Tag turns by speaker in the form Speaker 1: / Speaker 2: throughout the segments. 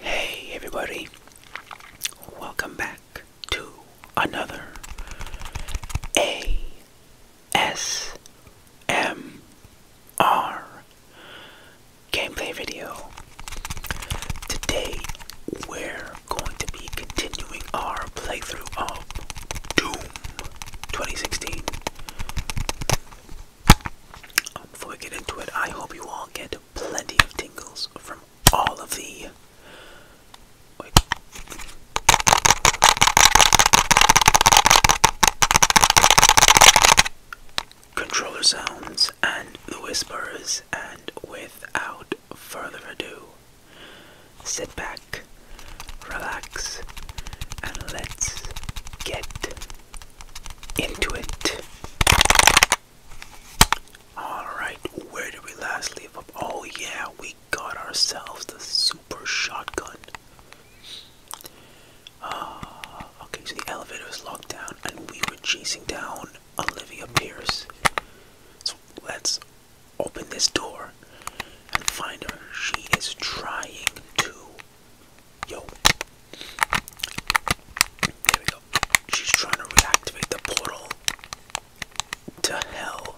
Speaker 1: Hey everybody, welcome back to another ASMR gameplay video. Today we're going to be continuing our playthrough of Doom 2016. Um, before we get into it, I hope you all get plenty of tingles from all of the controller sounds and the whisperers, and without further ado, sit back, relax, and let's get into it. Alright, where did we last leave up? Oh, yeah, we got ourselves the super shotgun. Uh, okay, so the elevator was locked down, and we were chasing down Olivia Pierce. So let's open this door and find her. She is trying to. Yo. There we go. She's trying to reactivate the portal to hell.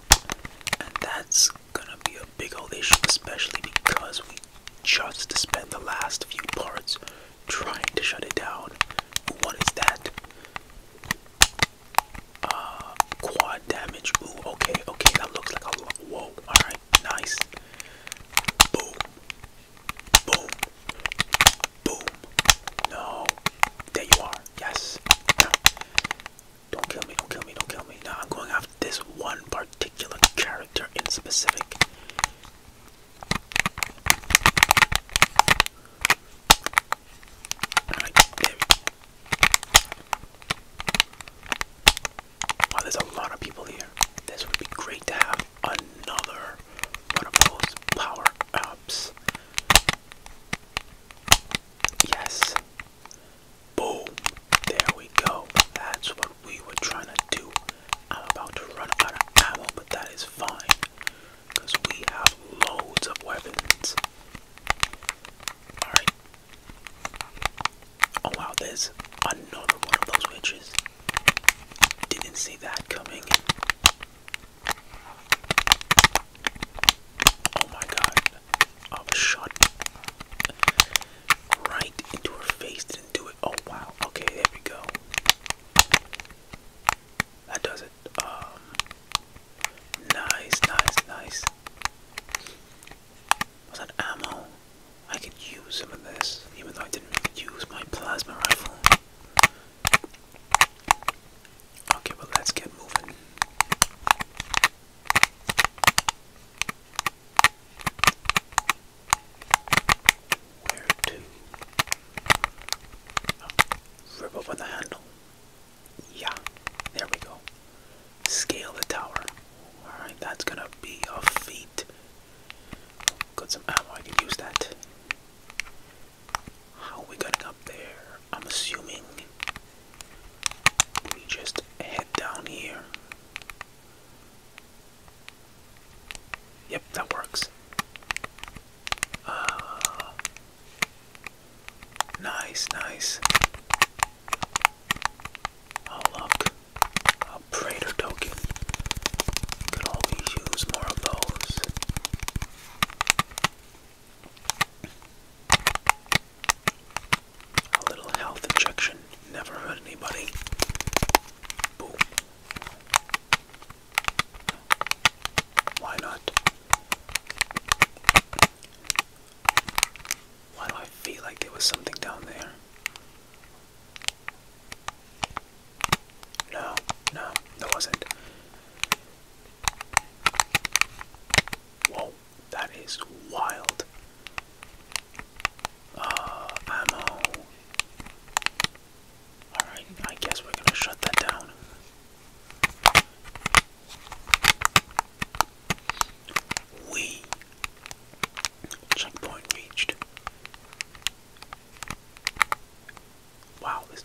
Speaker 1: And that's gonna be a big old issue, especially because we just spent the last few parts trying to shut it down. What is that? Uh, quad damage. Ooh, okay, okay, that looks like a lot. Whoa, alright, nice. Boom. Boom. Boom. No. There you are. Yes. Now, don't kill me, don't kill me, don't kill me. Now I'm going after this one particular character in specific. Wow, there's a lot of people here. This would be great to have another one of those power ups. Yes. Boom. There we go. That's what we were trying to do. I'm about to run out of ammo, but that is fine because we have loads of weapons. Alright. Oh wow, there's another one of those witches. Didn't see that coming. Oh my god. I was shot right into her face. Didn't do it. Oh wow. Okay, there we go. That does it. Um, nice, nice, nice. Was that ammo? I could use some of this, even though I didn't use my plasma rifle. Okay, well let's get moving. Where to? Oh, rip open the handle. Yeah, there we go. Scale the tower. Alright, that's gonna be a feat. Got some ammo, I can use that. How we getting up there? I'm assuming we just head down here. Yep, that works. Uh, nice, nice. Oh look, a token. Could always use more of those. A little health injection. Never hurt anybody. Boom. Why not? Why do I feel like there was something down there? No, no, there wasn't. Whoa, that is wild uh, ammo. Alright, I guess we're gonna shut that down. We checkpoint reached. Wow, this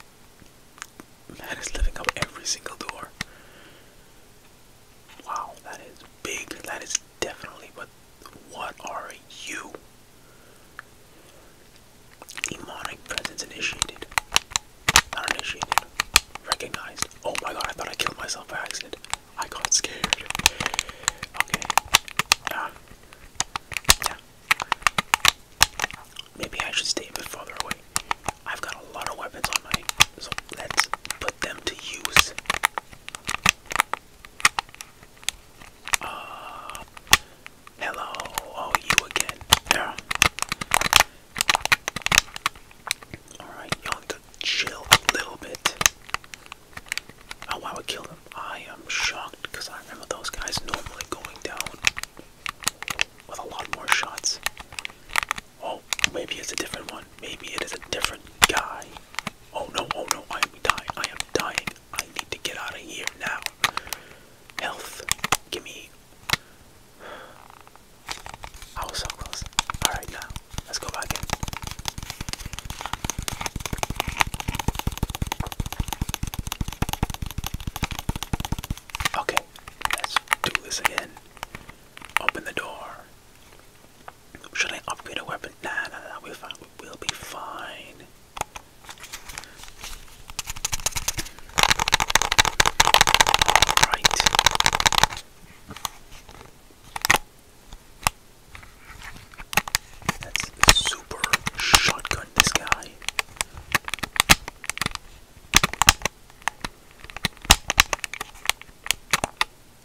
Speaker 1: man is lifting up every single door. Wow, that is big. That is definitely what what are you? Demonic presence initiated. Not initiated. Recognized. Oh my god, I thought I killed myself by accident. I got scared. Okay. Yeah. Yeah. Maybe I should stay a bit farther away. I've got a lot of weapons on my. let's put them to use. Uh, hello, oh you again. Yeah. Alright, y'all chill a little bit. Oh wow, I killed him. I am shocked because I remember those guys normally going down with a lot more shots. Oh, maybe it's a different one. Maybe it is a different guy. Oh no, oh no, I am dying. I am dying. I need to get out of here now. Health, give me. I was so close. Alright, now let's go back Okay, let's do this again. Open the door. Should I upgrade a weapon? Nah, nah, nah, we're fine. We'll be fine. Alright. That's super shotgun, this guy.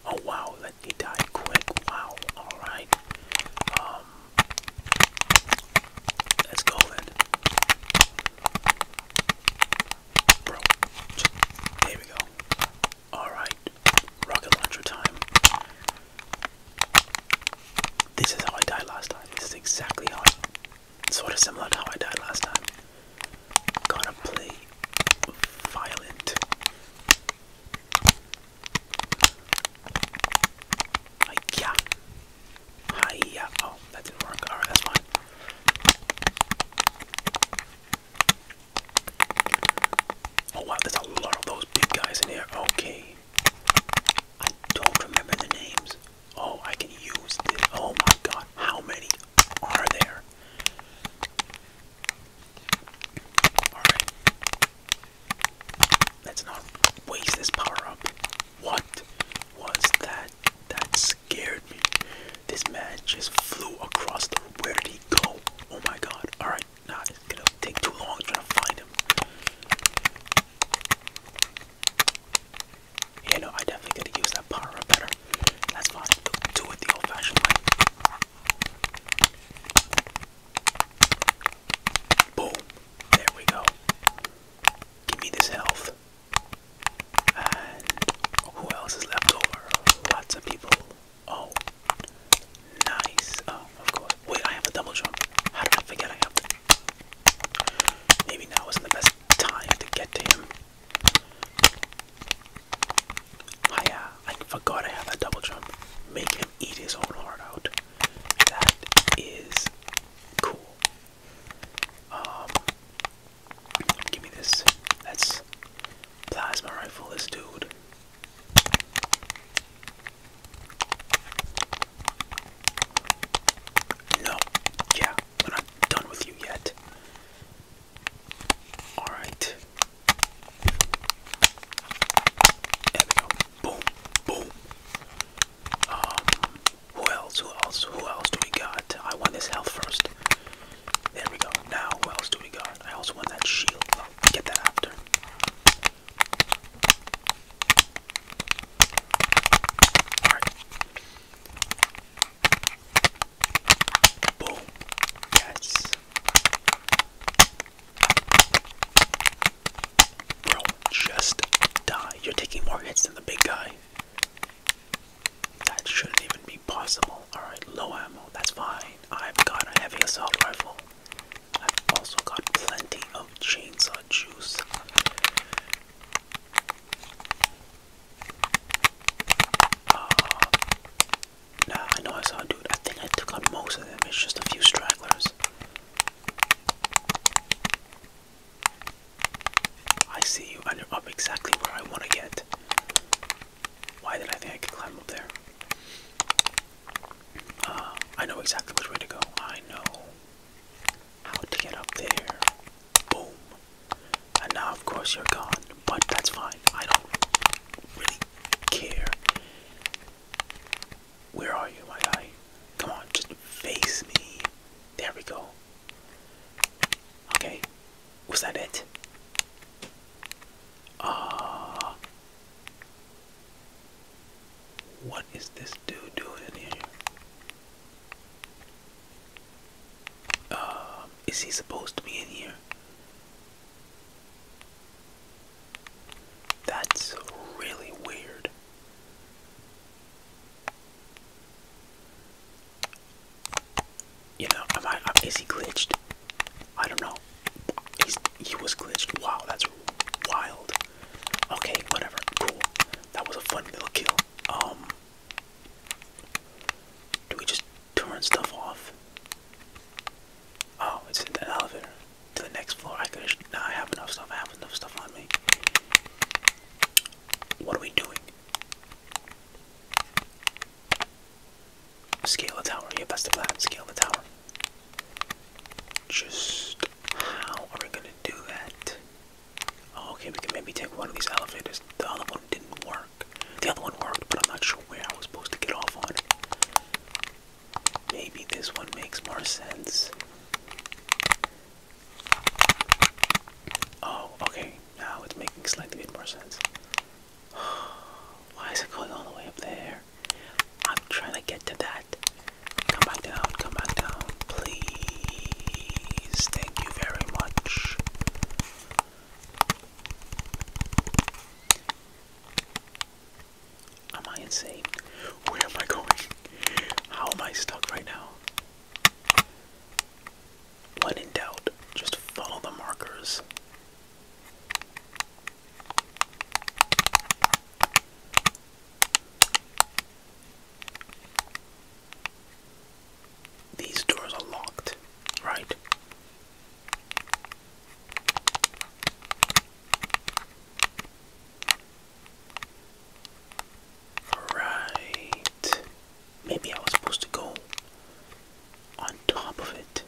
Speaker 1: Oh wow, let me die quick. Wow, alright. Um Let's go then. Bro. There we go. Alright. Rocket launcher time. This is how I died last time. This is exactly how sort of similar to how I died last time. Gotta play violent. Hiya. Hiya. Oh, that didn't work. Alright, that's fine. Oh wow, there's a lot of those big guys in here. Okay. I don't remember the names. Oh, I can use this. Oh my god, how many are there? Alright. Let's not waste this power up. What was that? That scared me. This man just flew across the Where did he go? Oh my god. Alright, nah, it's gonna take too long trying to find him. You know, I definitely gotta use that power up better. That's fine. Do it the old fashioned way. Boom. There we go. Give me this health. And who else is left over? Lots of people. Oh. Nice. Oh, of course. Wait, I have a double jump. How did I forget I have Maybe now isn't the best time to get to him. I, uh, I forgot I have a double jump. Make him eat his own heart out. That is cool. Um, give me this. That's plasma rifle, this dude. No, yeah, we're not done with you yet. All right. There we go. Boom, boom. Um, who else? Who else? Who else do we got? I want this health first. There we go. Now, who else do we got? I also want that shield. get that after. All right. Boom. Yes. Bro, just die. You're taking more hits than the big guy. That shouldn't even be possible. Alright, low ammo, that's fine. I've got a heavy assault rifle. I've also got plenty of chainsaw juice. Uh, Nah, I know I saw a dude. I think I took on most of them. It's just a few stragglers. I see you, and you're up exactly where I want to get. Why did I think I could climb up there? Uh, I know exactly which way to go. I know how to get up there. Boom. And now, of course, you're gone, but that's fine. I don't really care. Where are you, my guy? Come on, just face me. There we go. Okay. Was that it? Ah. what is this dude doing in here? Uh, is he supposed to be in here? That's really weird. You know, am I, is he glitched? I don't know. he was glitched. Wow, that's wild. Okay, whatever. Cool. That was a fun little kill. Um, do we just turn stuff off. Oh, it's in the elevator to the next floor. I could now I have enough stuff. I have enough stuff on me. What are we doing? Scale the tower. Yeah, that's the plan. Scale the tower. Just how are we gonna do that? Oh, okay, we can maybe take one of these elevators. The other one didn't work. The other one worked, but I'm not sure where I was supposed to get off on it. Maybe this one makes more sense. Oh, okay. Now it's making slightly bit more sense. Why is it going all the way up there? I'm trying to get to that. Come back down, come back down, please. Thank you very much. Am I insane? Where am I going? How am I stuck right now? When in doubt, just follow the markers these doors are locked, right? Right. Maybe I was supposed to go on top of it.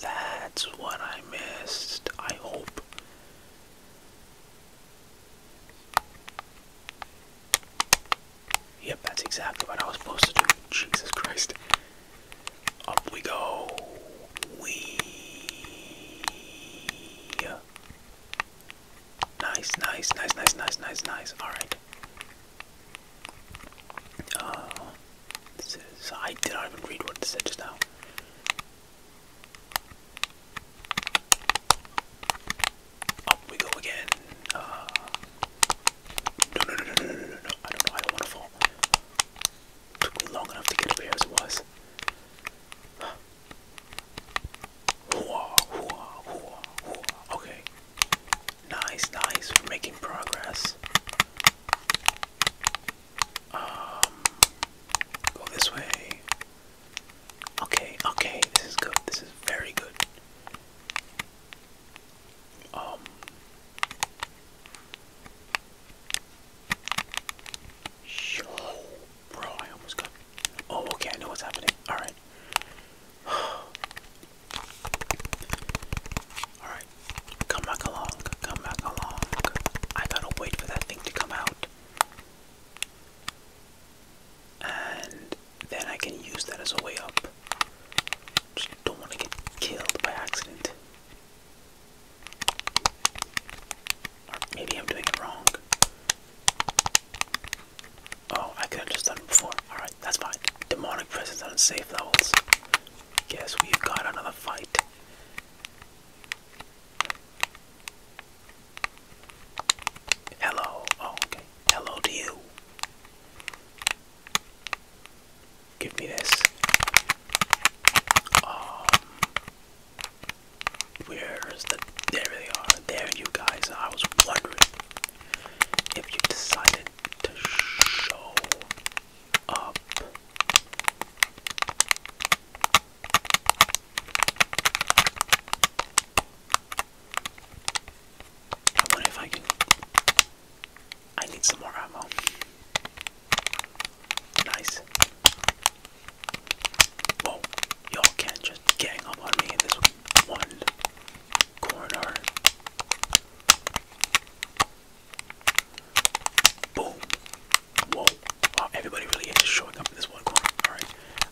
Speaker 1: That's what I missed. I hope. Yep, that's exactly what I was supposed to do. Jesus Christ. Up we go. We. Nice, nice, nice, nice, nice, nice, nice. All right. Uh, this is. I did not even read what it said just now. Up we go again. Uh, no, no, no, no, no, no, no, I don't know. I don't want to fall. Took me long enough to get up here as it was. Hooah, hooah, hooah, hooah. Okay. Nice, nice. We're making progress. Um, go this way. Okay, okay. This is good. This is very good. Um, bro, I almost got. Oh, okay, I know what's happening. All right. All right, come back along. Come back along. I gotta wait for that thing to come out. And then I can use that as a way up. Just don't want to get killed by accident. maybe I'm doing it wrong. Oh, I could have just done it before. Alright, that's fine. Demonic presence on safe levels. Guess we've got another fight. Hello. Oh, okay. Hello to you. Give me this. Um, where's the? There they are. There, you guys. I was wondering if you decided to show up. I wonder if I can. I need some more ammo. Nice. Whoa, y'all can't just gang up on me in this one corridor. Boom. Whoa. everybody really is showing up in this one corner. Alright,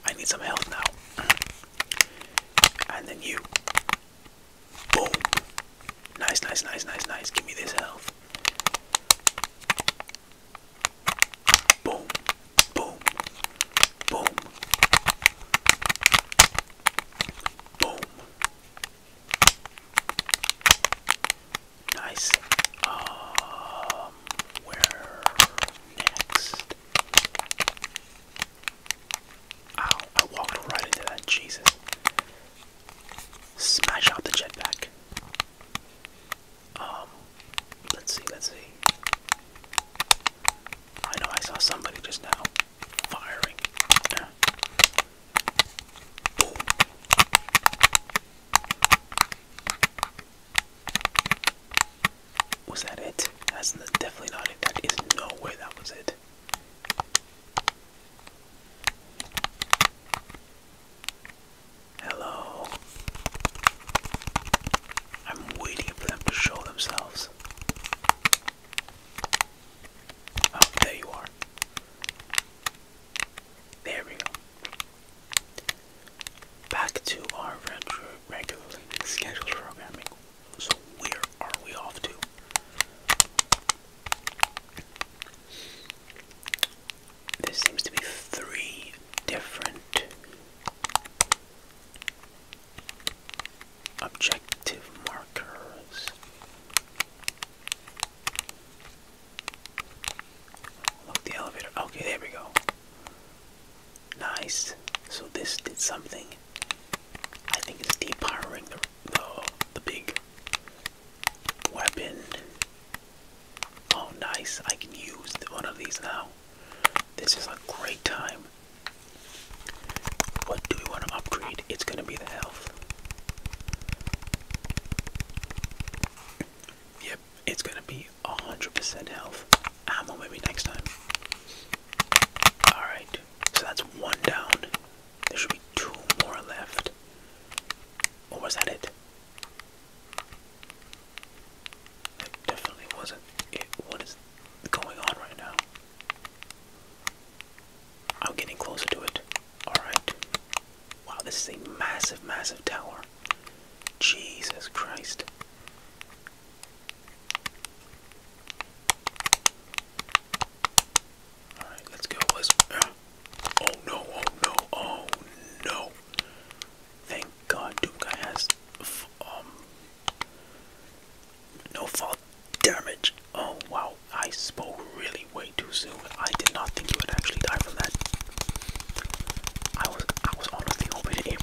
Speaker 1: I need some health now. And then you. Boom. Nice, nice, nice, nice, nice. Give me this health. Boom. Boom. Boom. Boom. Nice. Um where next? Ow, I walked right into that, Jesus. Smash out the jetpack. Um, let's see, let's see. I know I saw somebody just now firing. Was that it? That's definitely not it. That is no way that was it. Hello. I'm waiting for them to show themselves. Oh, there you are. There we go. Back to our regularly scheduled programming. So where are we off to? There seems to be three different objective markers. Look, the elevator. Okay, there we go. Nice. So this did something. I think it's depowering the the, the big weapon. Oh, nice. I can use one of these now. This is a great time. What do we want to upgrade? It's going to be the health. Yep, it's going to be 100% health. Ammo maybe next time. Alright, so that's one down. There should be two more left. Or was that it? That definitely wasn't it. What is going on right now? I'm getting closer to it. Alright. Wow, this is a massive, massive tower. Jesus Christ. Alright, let's go. Let's. Oh no, oh no, oh no. Thank God Doomguy has um no fall damage. Oh wow, I spoke really way too soon. I did not think he would actually die from that. I was I was honestly hoping to aim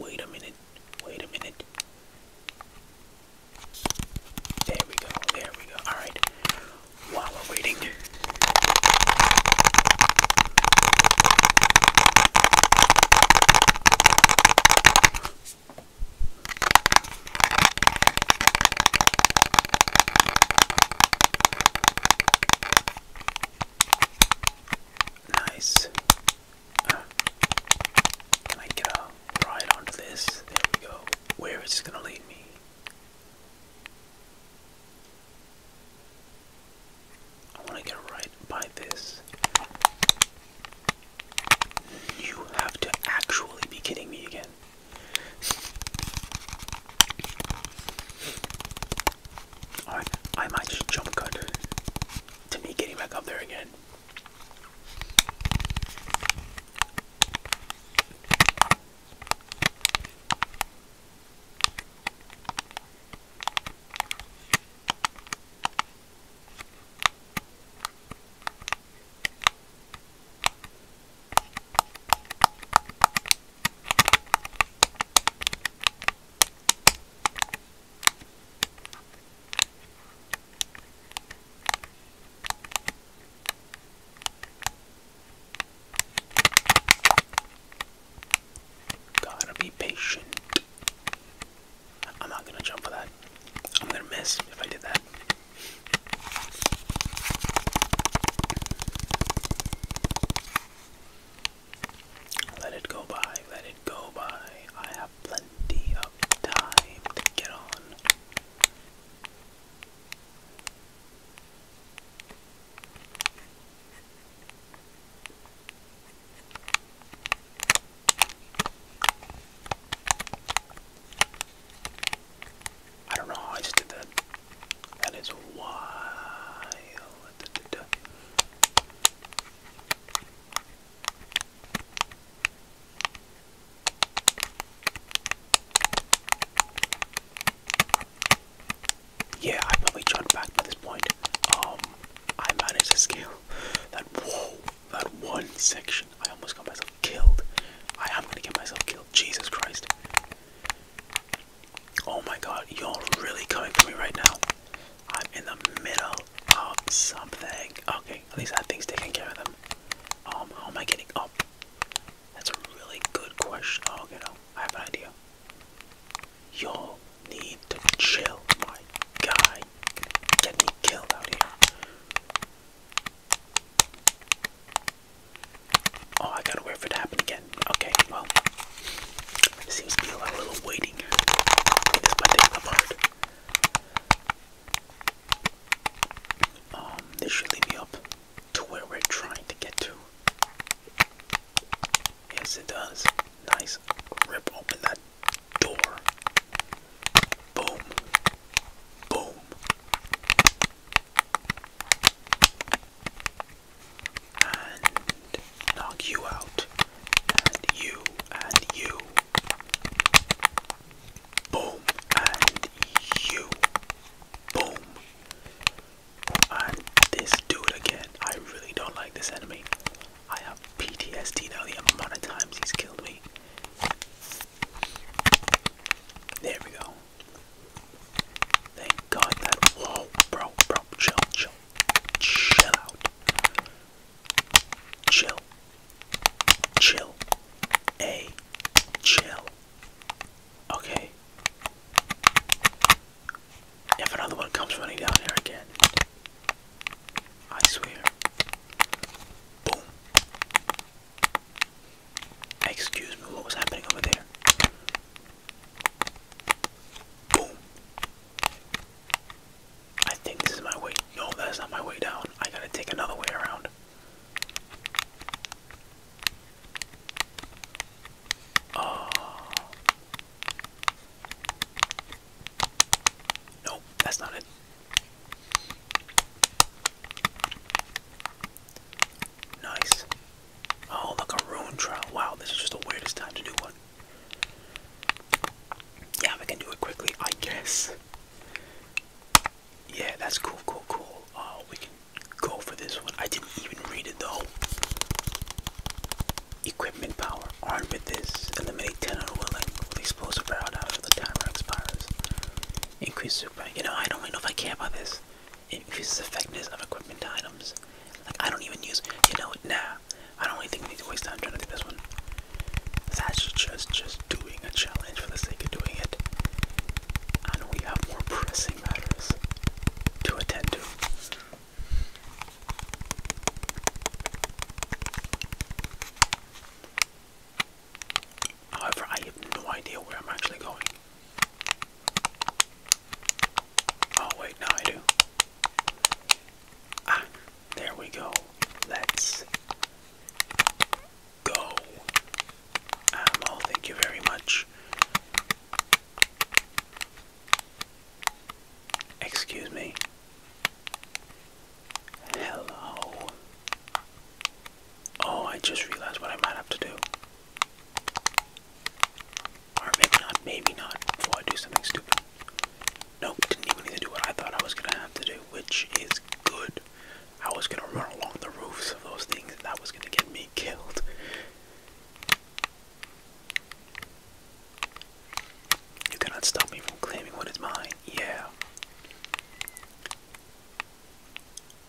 Speaker 1: wait, a minute, wait a minute. There we go, there we go. Alright, while we're waiting nice. can I get a ride onto this? There we go. Where is this gonna lead me? I wanna get right by this. You have to actually be kidding me again. All right, I might just jump cut to me getting back up there again. Gotta be patient. I'm not gonna jump for that. I'm gonna miss if I did that. Let it go by, let it go by. I have plenty of time to get on. I don't know I just did that. That is wild. Yeah, I probably jumped back by this point. Um, I managed to scale that. that one section. I almost got myself killed. I am gonna get myself killed. Jesus Christ. Oh my god, y'all really coming for me right now. I'm in the middle of something. Okay, at least that thing's taking care of them. Um, how am I getting up? That's a really good question. Oh, okay, no, I have an idea. you will need to chill, my guy. Get me killed out here. Oh, I gotta wait for it to happen again. Okay, well, seems to be a little waiting. This might take Um, this should lead me up to where we're trying to get to. Yes, it does. Nice. Rip open that door. Boom. Boom and knock you out, and you, and you, boom, and you, boom, and this dude again. I really don't like this enemy. I have PTSD now, the amount of times he's killed me. There we go. Thank God that. Whoa, bro, bro, chill, chill. Chill out. Chill. Chill. A. Chill. Okay. If another one comes running down here again, I swear. Boom. Excuse me, what was happening over there? Boom. I think this is my way. No, that's not my way down. I gotta take another way around. Oh. Nope, that's not it. Nice. Oh, look, a rune trial. Wow, this is just the weirdest time to do one. Yeah, we can do it quickly, I guess. Yeah, that's cool, cool, cool. Oh, we can go for this one. I didn't even read it, though. Equipment power. Armed with this, eliminate 10 unwilling with explosive out after the timer expires. Increase super. You know, I don't even know if I care about this. It increases effectiveness of equipment items. I don't even use you know nah. I don't really think we need to waste time trying to do this one. It's actually just just doing a challenge for the sake of doing it. I we have more pressing matters to attend to. However, I have no idea where I'm actually going. Oh, wait, now I do. Ah, there we go. Let's go. oh, thank you very much. Excuse me. Hello. Oh, I just realized what I might have to do. Or maybe not, maybe not, before I do something stupid. Nope, didn't even need to do what I thought I was gonna have to do, which is good. I was gonna run along the roofs of those things, and that was gonna get me killed. You cannot stop me from claiming what is mine, yeah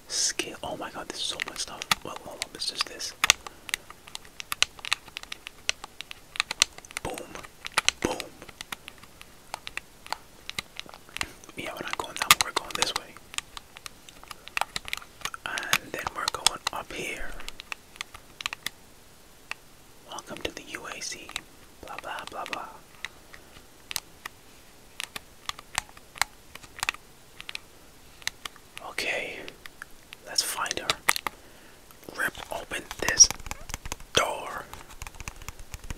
Speaker 1: skill. Oh my god, this is so much stuff. Well, hold it's just this. Boom. Boom. Yeah, we're not going that way, we're going this way. And then we're going up here. Welcome to the UAC. Blah, blah, blah, blah. Okay, let's find her. Rip open this door.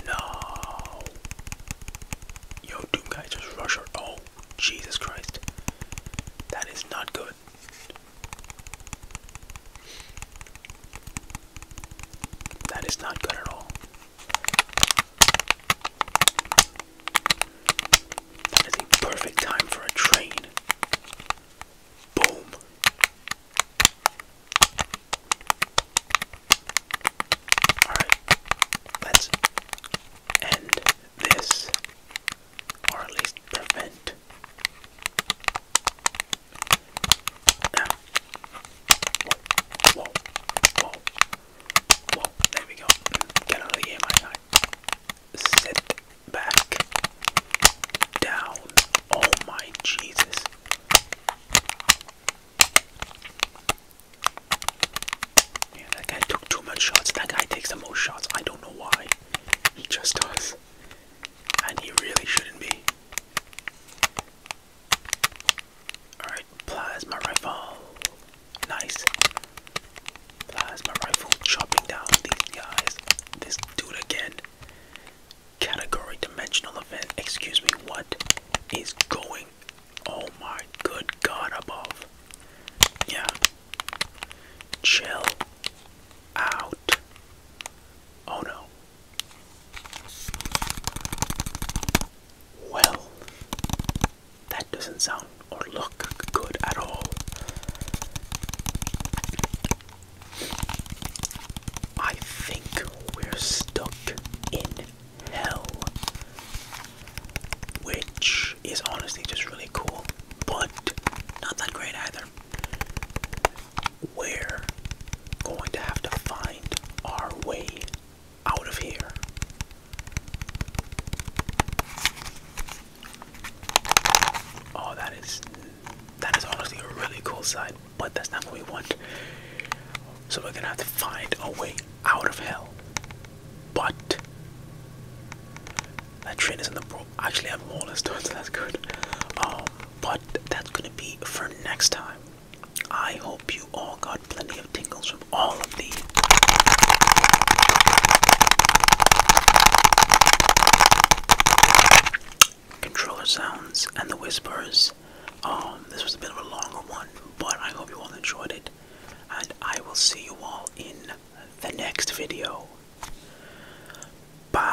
Speaker 1: No. Yo, Doom Guy just rushed her. Oh, Jesus Christ. That is not good. That is not good at all. That is a perfect time for a train. Boom. Alright, let's end this, or at least prevent. Whoa, there we go. Get out of the game, my guy. Sit back down. Oh my Jesus. Yeah, that guy took too much shots. That guy takes the most shots. I don't know why. He just does. And he really shouldn't be. Alright, plasma rifle. Nice. Plasma rifle chopping down these guys. This dude again. Category dimensional event. Excuse me, what is going Oh my good god above. Yeah. Chill out. Oh no. Well, that doesn't sound or look good at all. I think we're stuck in hell. Which is honestly just really cool, but not that great either. We're going to have to find our way out of here. Oh, that is that is honestly a really cool side, but that's not what we want. So we're gonna have to find a way out of hell. But that train is in the bro. Actually, I have more stones, so that's good. Um, but that's gonna be for next time. I hope you all got plenty of tingles from all of the Controller sounds and the whispers. Um, this was a bit of a longer one, but I hope you all enjoyed it. And I will see you all in the next video. Bye.